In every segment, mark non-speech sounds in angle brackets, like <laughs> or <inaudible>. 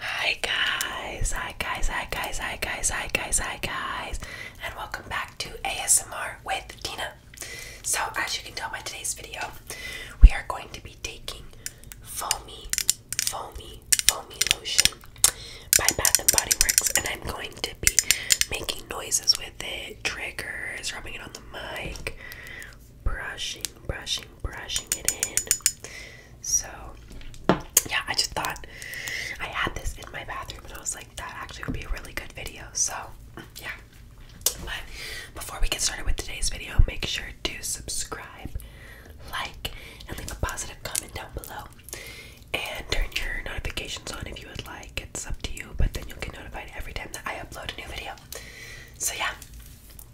Hi guys, hi guys, hi guys, hi guys, hi guys, hi guys, and welcome back to ASMR with Tina. So, as you can tell by today's video, we are going to be taking foamy, foamy, foamy lotion by Bath and Body Works, and I'm going to be making noises with it, triggers, rubbing it on the mic, brushing, brushing, brushing it in. So, yeah, I just thought I had this in my bathroom and I was like, that actually would be a really good video. So, yeah. But before we get started with today's video, make sure to subscribe, like, and leave a positive comment down below. And turn your notifications on if you would like. It's up to you, but then you'll get notified every time that I upload a new video. So, yeah,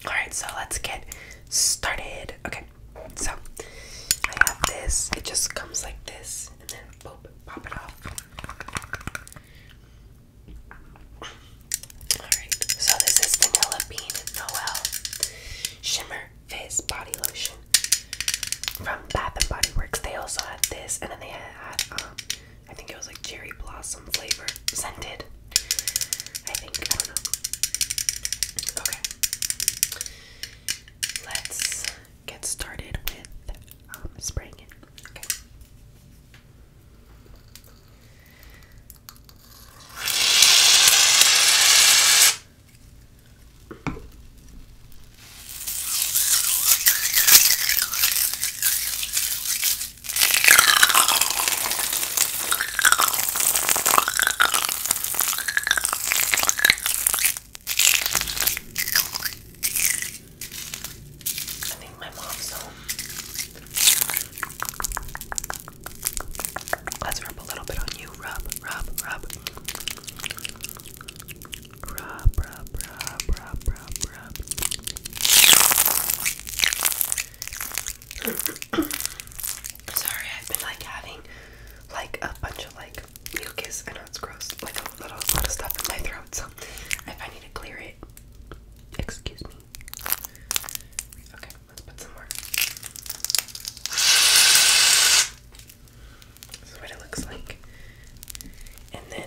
all right, so let's get started. Okay, so I have this. It just comes like this, and then boop, pop it off. All right, so this is Vanilla Bean Noel Shimmer Fizz Body Lotion from Bath and Body Works. They also had this, and then they had, um, I think it was like cherry blossom flavor scented. I think. I don't know. Okay. Let's get started with um, spraying it. Okay. I think my mom's home. Let's rub a little bit on you. Rub, rub, rub. Rub, rub, rub, rub, rub, rub. Sorry, I've been like having like a bunch of like mucus. I it's gross, like a little lot of stuff in my throat. So I need to clear it, excuse me. Okay, let's put some more. This is what it looks like. And then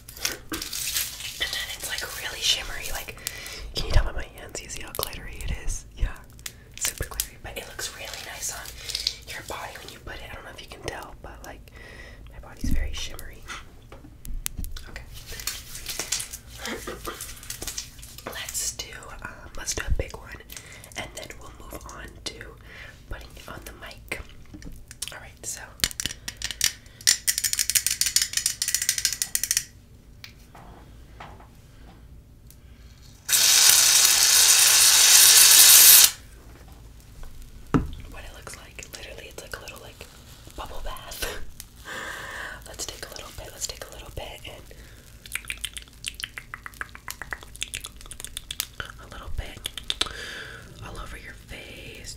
And then it's like really shimmery. Like, can you tell by my hands? You see how glittery it is? Yeah, super glittery. But it looks really nice on your body when you put it. I don't know if you can tell, but like, my body's very shimmery. Okay. let's do um, let's do a big one, and then we'll move on to putting it on the mic. All right, so what it looks like. Literally, it's like a little like bubble bath. <laughs> let's take a little bit, let's take a little bit, and a little bit all over your face.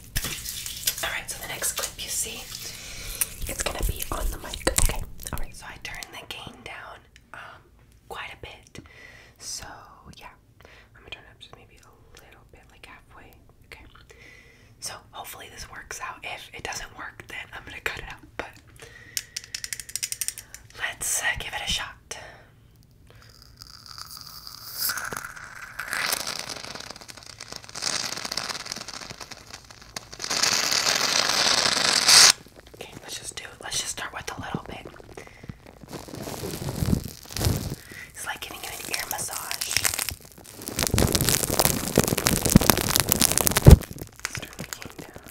Alright, so the next clip you see, it's gonna be on the mic. Okay, alright, so I turned the gain down um quite a bit. So yeah. I'm gonna turn it up just maybe a little bit like halfway. Okay. So hopefully this works out. If it doesn't work, then I'm gonna cut it out. But let's uh, give it a shot. Okay, let's just do it. Let's just start with a little bit. It's like getting an ear massage. Start down.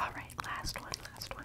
All right, last one, last one.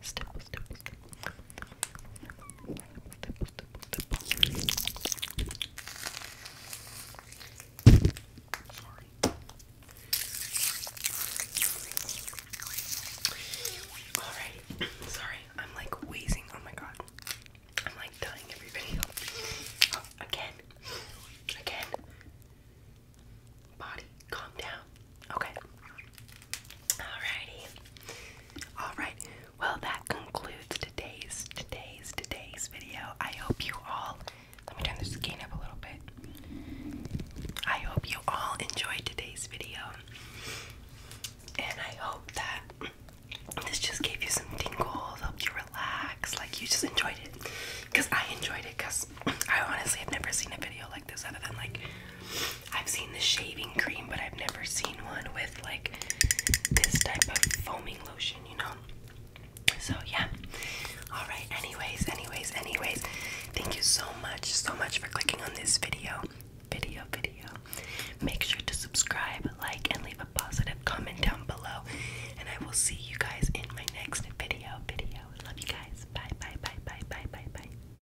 stipple, stipple, stipple. Stipple, stipple, stipple. Sorry. Alright, sorry, I'm like wheezing. Oh my god. I'm like dying every video. Oh, <gasps> again. Again. Body, calm down. Okay. Alrighty. Alright. Well that concludes today's today's today's video. I hope you all let me turn this gain up a little bit. I hope you all enjoyed today's video. And I hope that this just gave you some tingles, helped you relax, like you just enjoyed it. Because I enjoyed it because I honestly have never seen a video like this other than like I've seen the shaving cream, but I've never seen one with like this type of foaming lotion, you know? So, yeah. Alright, anyways, anyways, anyways. Thank you so much, so much for clicking on this video. Video, video. Make sure to subscribe, like, and leave a positive comment down below. And I will see you guys in my next video. Video. Love you guys. Bye, bye, bye, bye, bye, bye, bye.